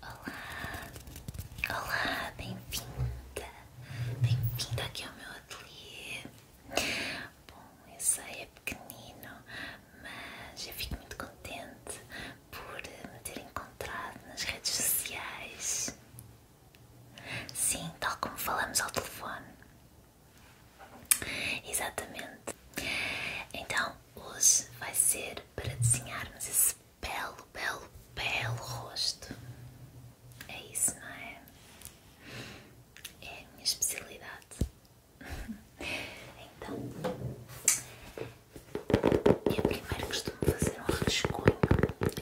Olá, olá, bem-vinda, bem-vinda aqui ao meu ateliê. Bom, eu sei, é pequenino, mas eu fico muito contente por me ter encontrado nas redes sociais. Sim, tal como falamos ao telefone. Exatamente. Então, hoje vai ser para desenharmos esse belo, belo, belo rosto. É isso, não é? É a minha especialidade. Então, eu primeiro costumo fazer um rascunho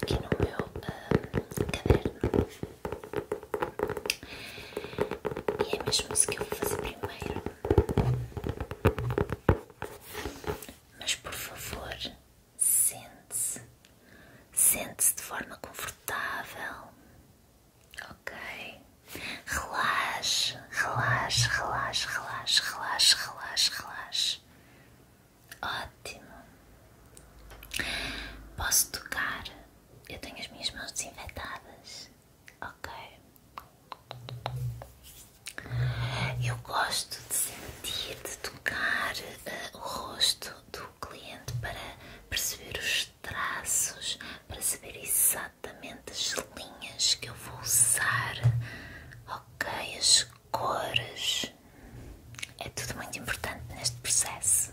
aqui no meu hum, caderno. E é mesmo isso que eu vou fazer primeiro. Mas por favor, sente-se. Sente-se de forma confortável. Ok? Relaxe, relaxe, relaxe, relaxe, relaxe, relaxe, relaxe. Ótimo. Posso tocar? Eu tenho as minhas mãos desinfetadas. Ok. Eu gosto de sentir, de tocar eh, o rosto do cliente para perceber os traços, para saber exatamente as linhas que eu vou usar, ok? As cores. É tudo muito importante neste processo.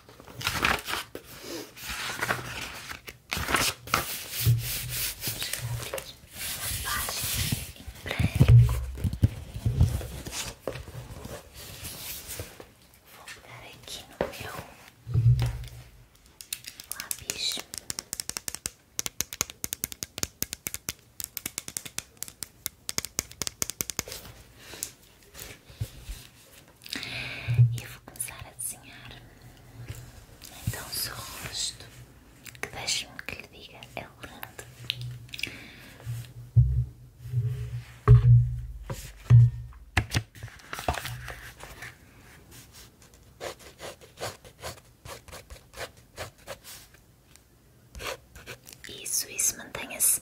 Vou pegar aqui no meu lápis. E vou começar a desenhar então o seu rosto, que deixe-me que lhe diga, é lindo. Isso, isso, mantenha-se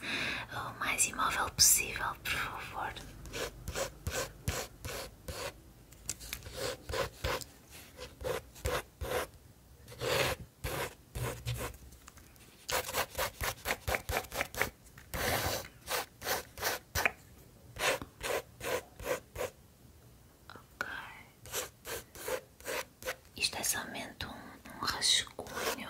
o mais imóvel possível, por favor. Ok, isto é somente um rascunho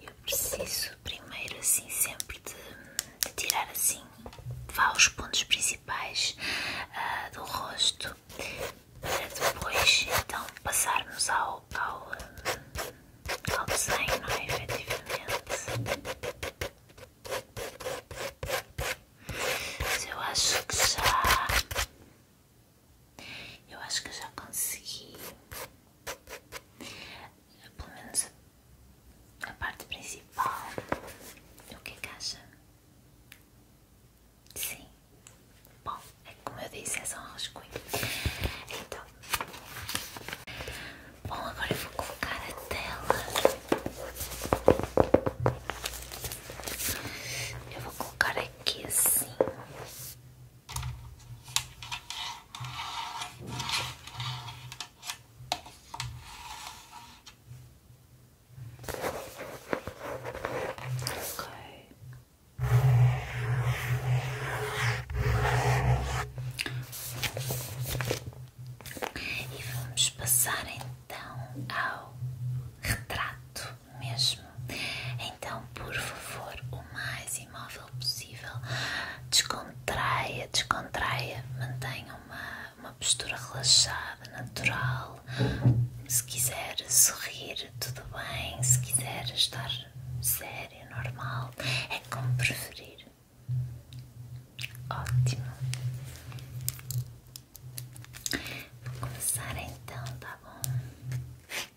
Eu preciso primeiro assim sempre de, tirar assim vá os pontos principais ah, do rosto para depois então passarmos ao, ao, ao desenho, não é? Efetivamente. Mas eu acho que já eu acho que já consegui pelo menos a parte principal. O que é que acha? Sim. Bom, é como eu disse, é só um rascunho. Então. Bom, agora eu vou colocar a tela. Eu vou colocar aqui assim. Okay. E vamos passar então ao retrato mesmo. Então, por favor, o mais imóvel possível, descontraia, descontraia, mantenha uma, uma postura relaxada, natural. Se quiser sorrir, tudo bem. Se quiser estar sério, normal, é como preferir. Ótimo. Vou começar então, tá bom?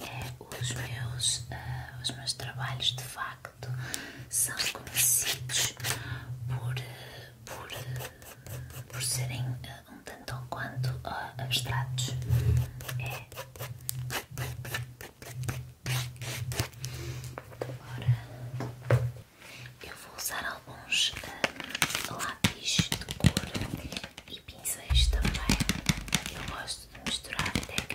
É, os, meus, eh, os meus trabalhos de facto são conhecidos por, por, por serem eh, um tanto ou quanto eh, abstratos. É. Eu vou usar alguns ah, lápis de cor e pinceis também. Eu gosto de misturar técnicas.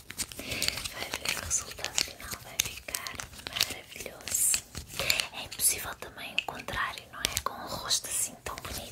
Vai ver o resultado final, vai ficar maravilhoso. É impossível também o contrário, não é? Com um rosto assim tão bonito.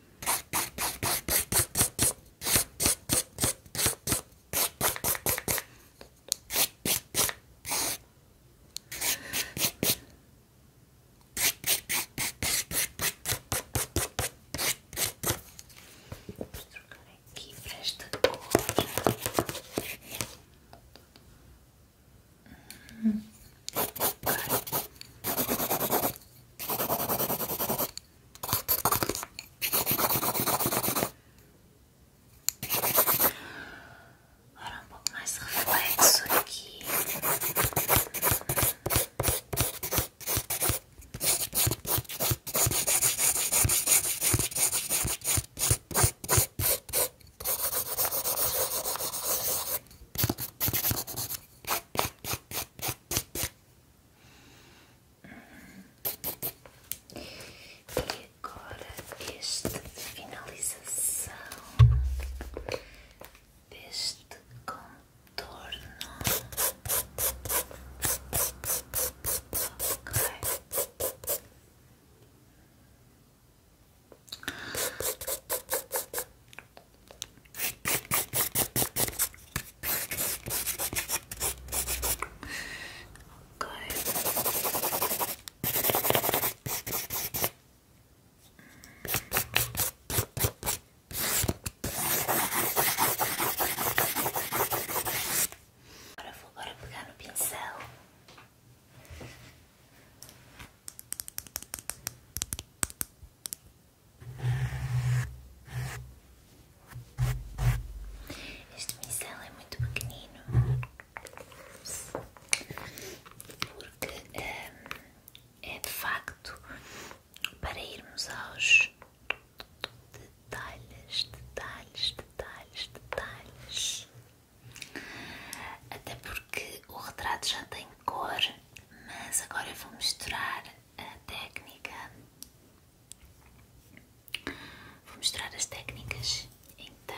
Vamos trocar aqui para esta cor. Hum. Agora um pouco mais reflexo aqui. E agora este finalização deste contorno. Agora vou agora pegar no pincel este pincel é muito pequenino porque hum, é de facto para irmos aos detalhes, detalhes, detalhes, detalhes até porque o retrato já tem cor, mas agora eu vou misturar a técnica. Vou mostrar as técnicas então.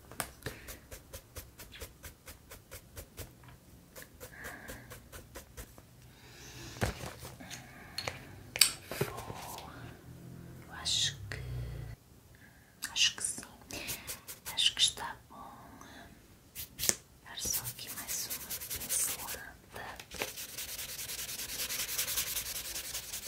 Vou, acho que acho que sim, acho que está bom. Dar só aqui mais uma pincelada.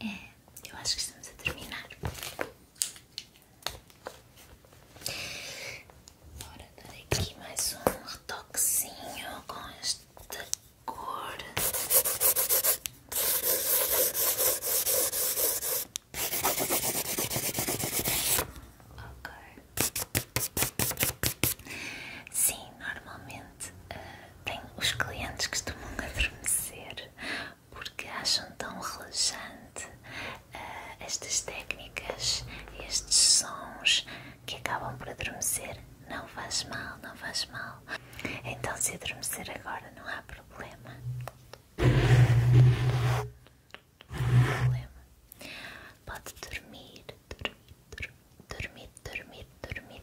É, eu acho que estamos a terminar. Bora dar aqui mais um retoquezinho com esta cor. Ok. Sim, normalmente eh, tem os clientes que costumam adormecer porque acham tão relaxante eh, estas técnicas, estes sons que acabam por adormecer. Não faz mal, não faz mal. Então, se adormecer agora, não há problema. Não há problema. Pode dormir, dormir, dormir, dormir, dormir,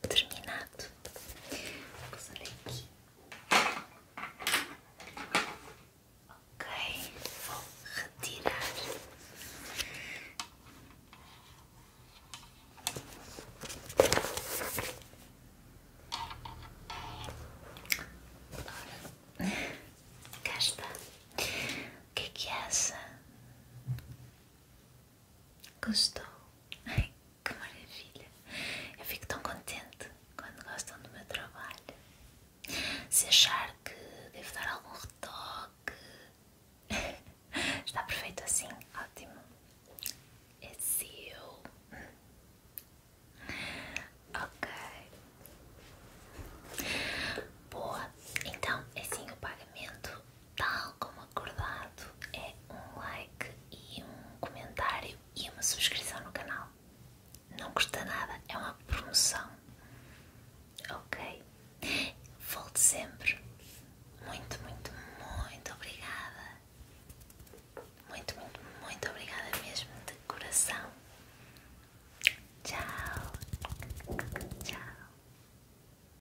terminado. Ok, vou retirar. Ora, cá O que é que acha? É Gostou? Ai, que maravilha! Eu fico tão contente quando gostam do meu trabalho. Se achar que devo dar algum retoque, está perfeito assim, ótimo. É seu. Ok. Boa, então é assim o pagamento tal como acordado, é um like e um comentário e uma subscrição no canal. Não custa nada, é uma promoção. Ok? volto sempre. Muito, muito, muito obrigada. Muito, muito, muito obrigada mesmo, de coração. Tchau. Tchau.